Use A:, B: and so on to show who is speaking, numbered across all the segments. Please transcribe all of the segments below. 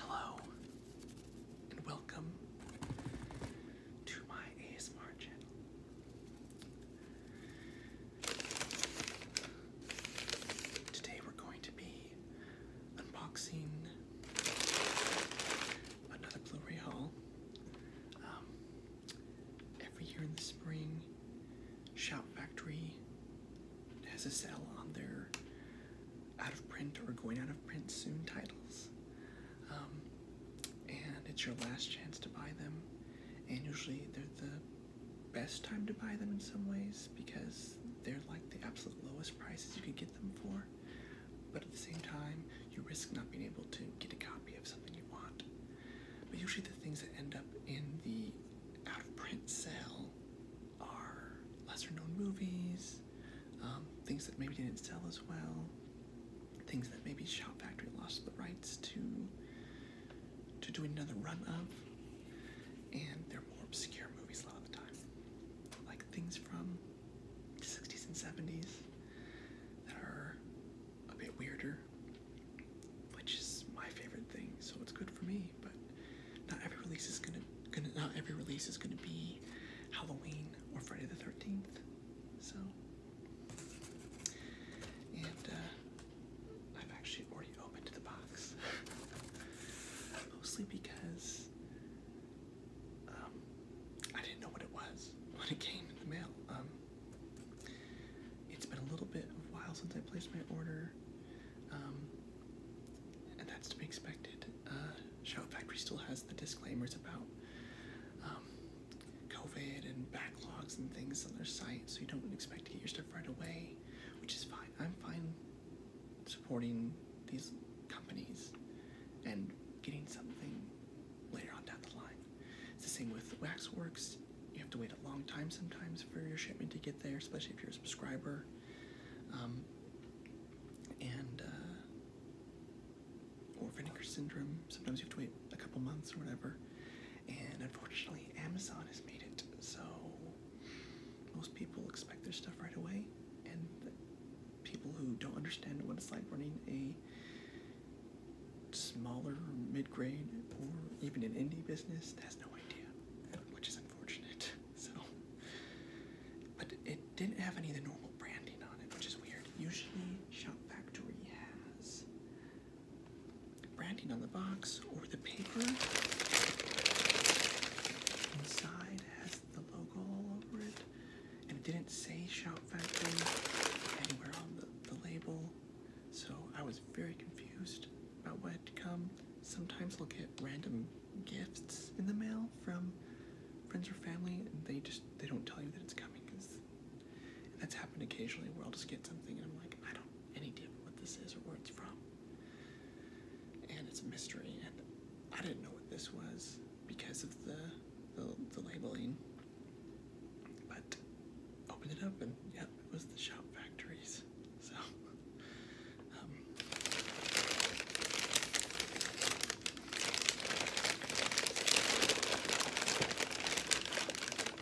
A: Hello and welcome to my ASMR channel. Today we're going to be unboxing another Blu-ray haul. Um, every year in the spring, Shout Factory has a sale on their out of print or going out of print soon titles. Um, and it's your last chance to buy them. And usually they're the best time to buy them in some ways because they're like the absolute lowest prices you can get them for but at the same time, you risk not being able to get a copy of something you want. But usually, the things that end up in the out of print sale are lesser known movies, um, things that maybe didn't sell as well, things that maybe Shop Factory lost the rights to to do another run of, and they're more obscure movies a lot of the time, like things from 60s and 70s that are a bit weirder, which is my favorite thing. So it's good for me, but not every release is gonna, gonna not every release is gonna be Halloween or Friday the 13th. So and uh, I've actually already opened the box, mostly because um, I didn't know what it was when it came in the mail. Um, it's been a little bit of a while since I placed my order, um, and that's to be expected. Uh, Shout Factory still has the disclaimers about COVID and backlogs and things on their site, so you don't expect to get your stuff right away, which is fine. I'm fine supporting these companies and getting something later on down the line. It's the same with Waxworks. You have to wait a long time sometimes for your shipment to get there, especially if you're a subscriber. Um, and, uh, or Vinegar Syndrome. Sometimes you have to wait a couple months or whatever. And unfortunately, Amazon has made it so most people expect their stuff right away, and people who don't understand what it's like running a smaller mid-grade or even an indie business has no idea, which is unfortunate. So, but it didn't have any of the normal branding on it, which is weird. Usually, Shop Factory has branding on the box or the paper. Inside has the logo all over it and it didn't say Shout Factory anywhere on the, the label, so I was very confused about what had come. Sometimes we will get random gifts in the mail from friends or family, and they just they don't tell you that it's coming. Cause and that's happened occasionally where I'll just get something and I'm like, I don't any idea what this is or where it's from. And it's a mystery, and I didn't know what this was because of the the, labeling. But opened it up and yep, it was the shop factories. So um,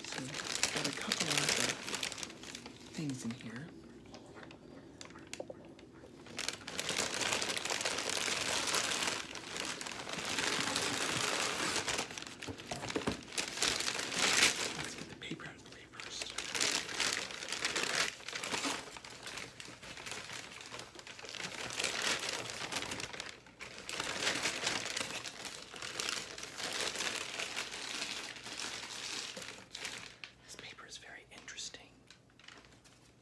A: so got a couple of uh, things in here. Let's get the paper out of the way This paper is very interesting.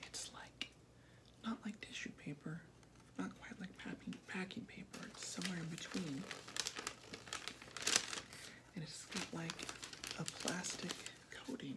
A: It's like not like tissue paper, not quite like packing, packing paper, it's somewhere in between. And it's got like a plastic coating.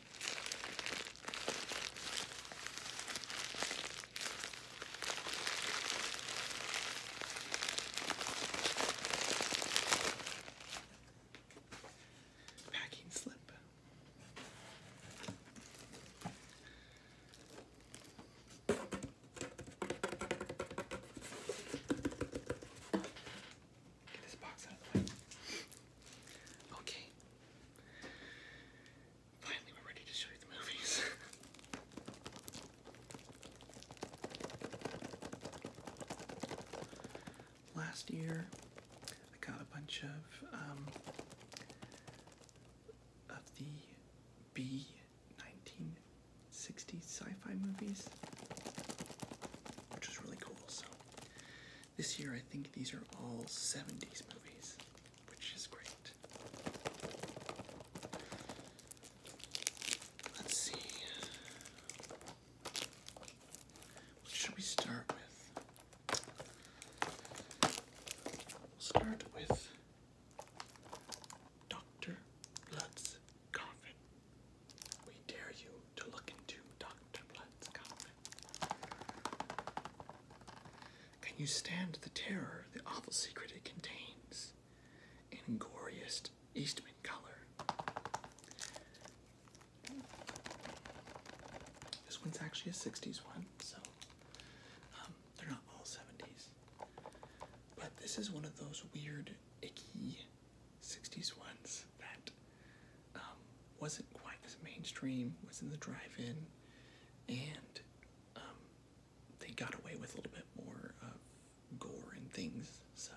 A: Packing slip. Get this box out of the way. Okay, Finally, we're ready to show you the movies. Last year, I got a bunch of um, of the B nineteen sixty sci-fi movies, which was really cool. So this year, I think these are all 70s movies, which is great. Let's see. should we start with? start with Dr. Blood's coffin. We dare you to look into Dr. Blood's coffin. Can you stand the terror, the awful secret it contains, in goriest Eastman color? This one's actually a 60s one, so um, they're not all 70s. But this is one of those weird, icky 60s ones that um, wasn't quite as mainstream, was in the drive-in, and um, they got away with a little bit more of gore and things. So.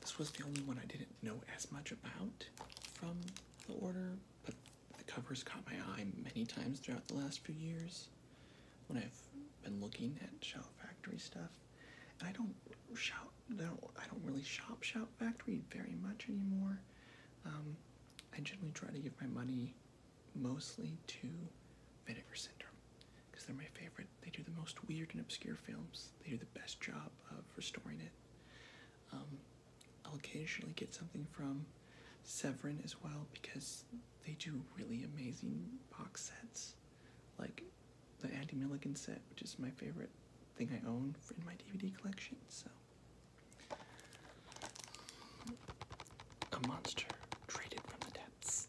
A: This was the only one I didn't know as much about from the order, but the covers caught my eye many times throughout the last few years when I've been looking at Shout Factory stuff. And I don't shout, I I don't really shop Shout Factory very much anymore. Um, I generally try to give my money mostly to Vinegar Syndrome because they're my favorite. They do the most weird and obscure films. They do the best job of restoring it. Um, I'll occasionally get something from Severin as well because they do really amazing box sets. Like the Andy Milligan set, which is my favorite thing I own in my DVD collection. So, a monster traded from the depths.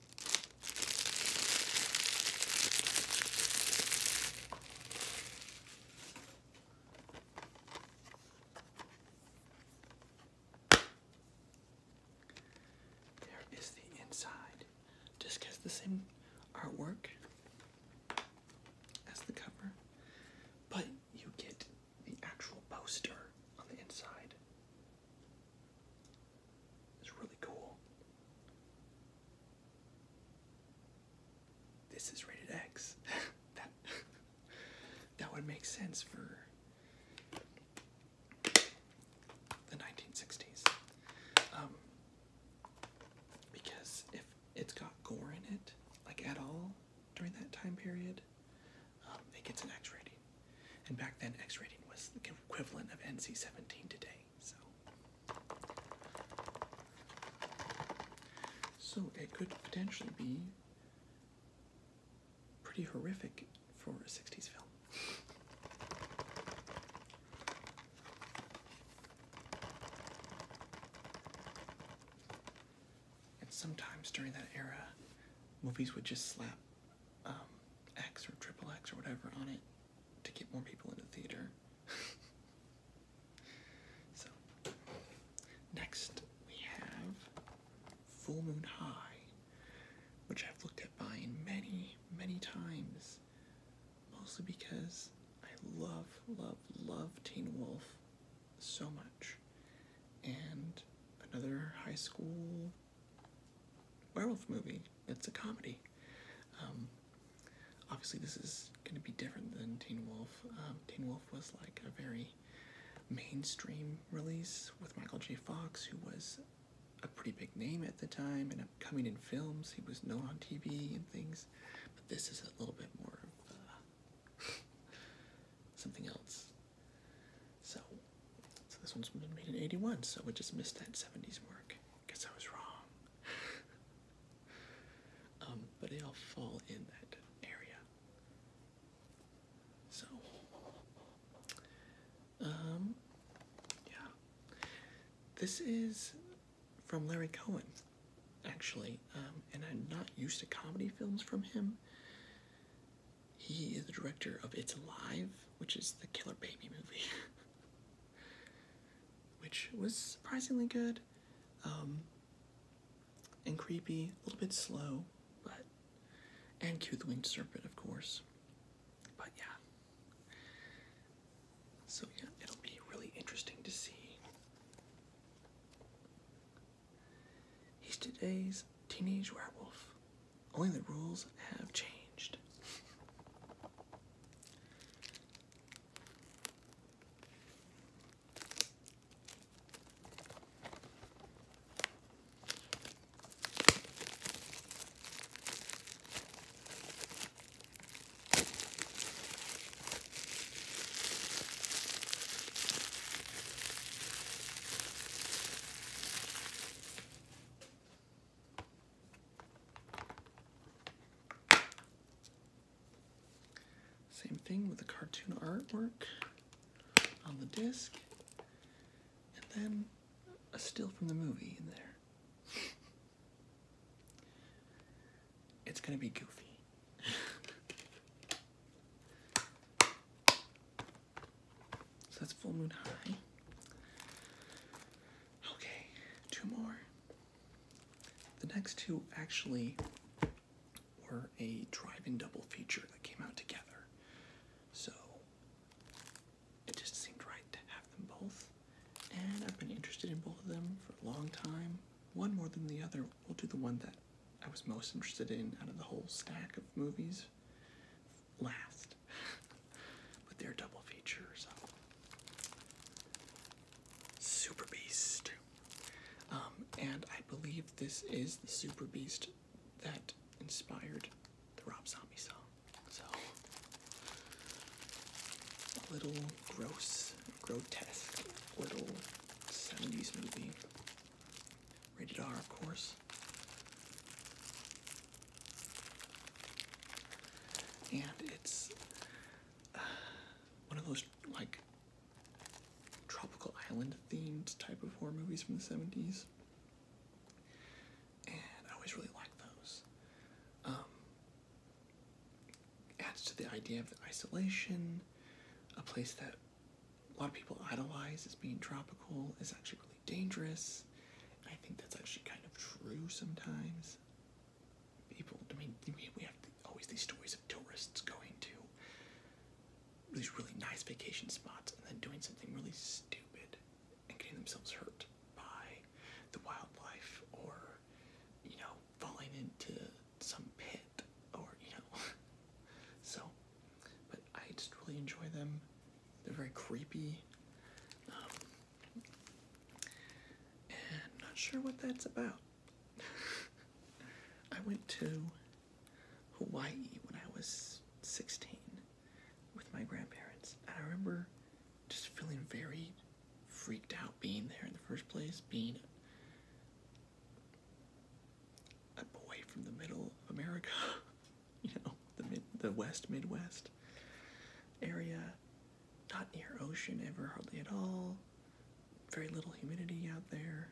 A: There is the inside. Just has the same artwork as the cover, but you get the actual poster on the inside. It's really cool. This is rated X. that that would make sense for the 1960s. Um, because if it's got gore in it, like at all during that time period, um, it gets an X rating. And back then, X rating was the equivalent of NC 17 today. So. so it could potentially be pretty horrific for a 60s film. And sometimes during that era, movies would just slap um, X or triple X or whatever on it to get more people into the theater. so, next we have Full Moon High, which I've looked at buying many, many times, mostly because I love, love, love Teen Wolf so much. And another high school werewolf movie. It's a comedy. Um, obviously, this is going to be different than Teen Wolf. Um, Teen Wolf was like a very mainstream release with Michael J. Fox, who was a pretty big name at the time and coming in films. He was known on TV and things. But this is a little bit more of uh, something else. So, so this one's made in 81, so we just missed that 70s work. Guess I was wrong. um, but they all fall in that area. So, um, yeah. This is from Larry Cohen, actually, um, and I'm not used to comedy films from him. He is the director of It's Alive, which is the Killer Baby movie, which was surprisingly good um, and creepy, a little bit slow, but. And Cue the Winged Serpent, of course. But yeah. So yeah, it'll be really interesting to see. He's today's Teenage Werewolf. Only the rules have changed. Same thing with the cartoon artwork on the disc, and then a still from the movie in there. it's gonna be goofy. So that's full moon high. Okay, two more. The next two actually were a drive-in double feature that came out together. So it just seemed right to have them both. And I've been interested in both of them for a long time. One more than the other. We'll do the one that I was most interested in out of the whole stack of movies last. but they're double features. Um, Super Beast. Um, and I believe this is the Super Beast that inspired the Rob Zombie song. So, a little gross, grotesque, little 70s movie. Rated R, of course. And it's uh, one of those like tropical island themed type of horror movies from the 70s. And I always really like those. Um, adds to the idea of isolation, a place that a lot of people idolize as being tropical is actually really dangerous. I think that's actually kind of true sometimes. People, I mean, we have always these stories of tourists going to these really nice vacation spots and then doing something really stupid and getting themselves hurt by the wildlife or, you know, falling into some pit or, you know. so but I just really enjoy them. They're very creepy. Um, and not sure what that's about. I went to Hawaii when I was 16 with my grandparents, and I remember just feeling very freaked out being there in the first place, being a boy from the middle of America, you know, the mid, the West Midwest area, not near ocean ever hardly at all, very little humidity out there,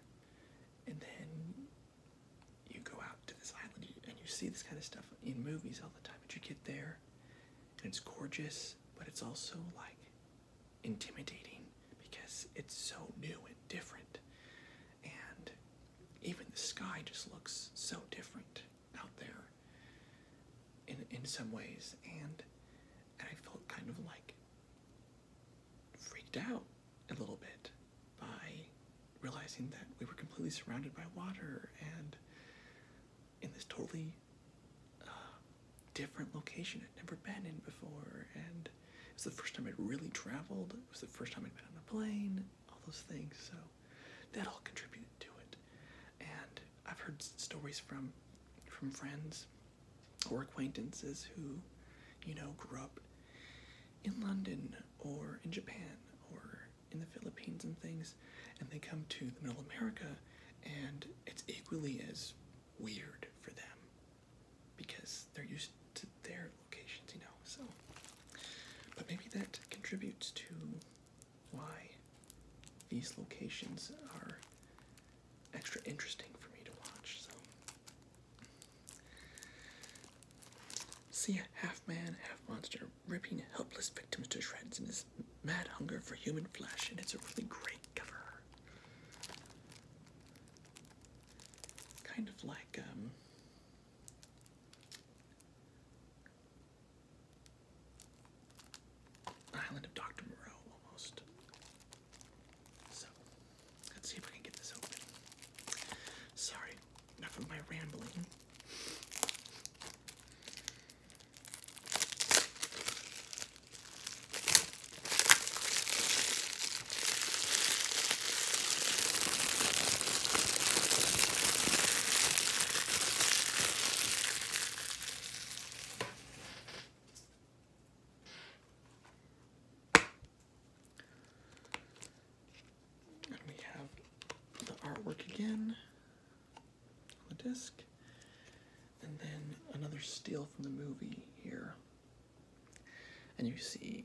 A: and then you go out to this island and you see this kind of stuff in movies all the time, but you get there and it's gorgeous, but it's also like intimidating because it's so new and different. And even the sky just looks so different out there in, in some ways. And, and I felt kind of like freaked out a little bit by realizing that we were completely surrounded by water and in this totally uh, different location I'd never been in before. And it was the first time I'd really traveled. It was the first time I'd been on a plane. All those things. So that all contributed to it. And I've heard stories from from friends or acquaintances who, you know, grew up in London or in Japan or in the Philippines and things, and they come to the Middle America, and it's equally as weird for them because they're used to their locations, you know. So, but maybe that contributes to why these locations are extra interesting for me to watch. So, see a half man, half monster ripping helpless victims to shreds in his mad hunger for human flesh, and it's a really great cover. Kind of like um Island of Dr. Moreau almost. So let's see if I can get this open. Sorry, enough of my rambling. And we have the artwork again on the disc. And then another steal from the movie here. And you see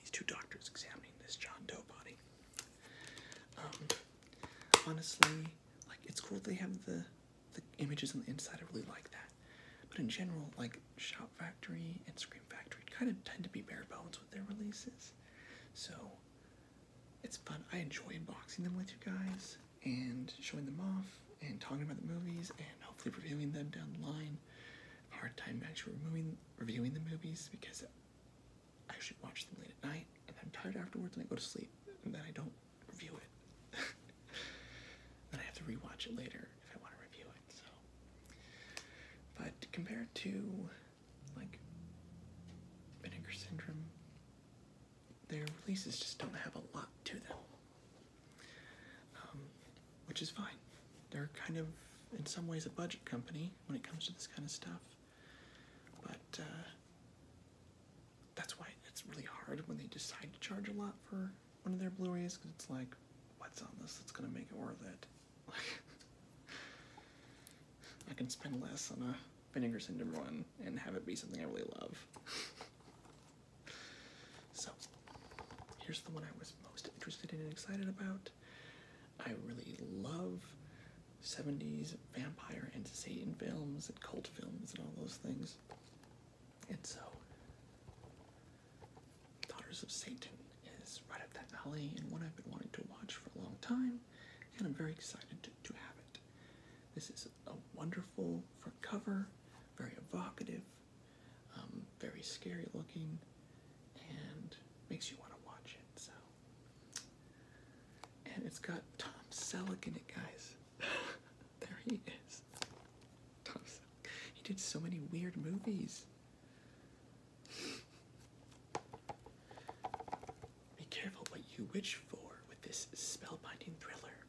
A: these two doctors examining this John Doe body. Um, honestly, like it's cool they have the the images on the inside. I really like that. But in general, like Shop Factory and Scream Factory kind of tend to be bare bones with their releases. So it's fun. I enjoy unboxing them with you guys and showing them off and talking about the movies and hopefully reviewing them down the line. I hard time actually reviewing the movies because I should watch them late at night and I'm tired afterwards and I go to sleep and then I don't review it. then I have to rewatch it later if I want to review it. So, but compared to like Vinegar Syndrome, their releases just don't have a lot to them, um, which is fine. They're kind of, in some ways, a budget company when it comes to this kind of stuff, but uh, that's why it's really hard when they decide to charge a lot for one of their Blu-rays because it's like, what's on this that's gonna make it worth it? I can spend less on a Vinegar Syndrome one and have it be something I really love. So, here's the one I was most interested in and excited about. I really love 70s vampire and Satan films and cult films and all those things. And so, Daughters of Satan is right up that alley and one I've been wanting to watch for a long time, and I'm very excited to, to have it. This is a wonderful cool for cover, very evocative, um, very scary looking, and makes you want to watch it. So, and it's got Tom Selleck in it, guys. there he is. Tom Selleck. He did so many weird movies. Be careful what you wish for with this spellbinding thriller.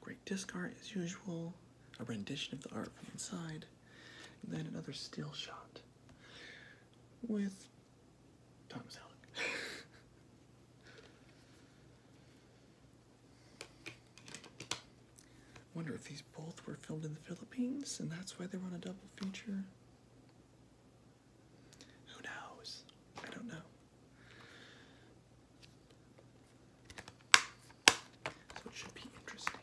A: Great disc as usual, a rendition of the art from inside, and then another still shot with Tom Selleck. Wonder if these both were filmed in the Philippines and that's why they run a double feature. Who knows? I don't know. So it should be interesting.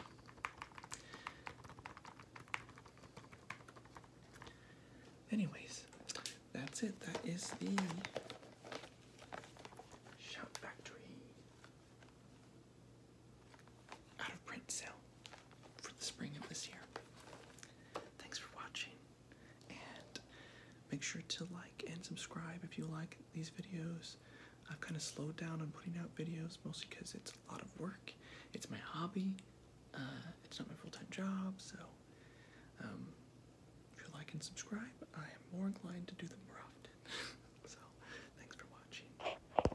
A: Anyways, that's it. That is the Shout Factory out of print sale for the spring of this year. Thanks for watching, and make sure to like and subscribe if you like these videos. I've kind of slowed down on putting out videos mostly because it's a lot of work. It's my hobby. Uh, it's not my full-time job, so um, if you like and subscribe, I am more inclined to do them more often. so, thanks for watching.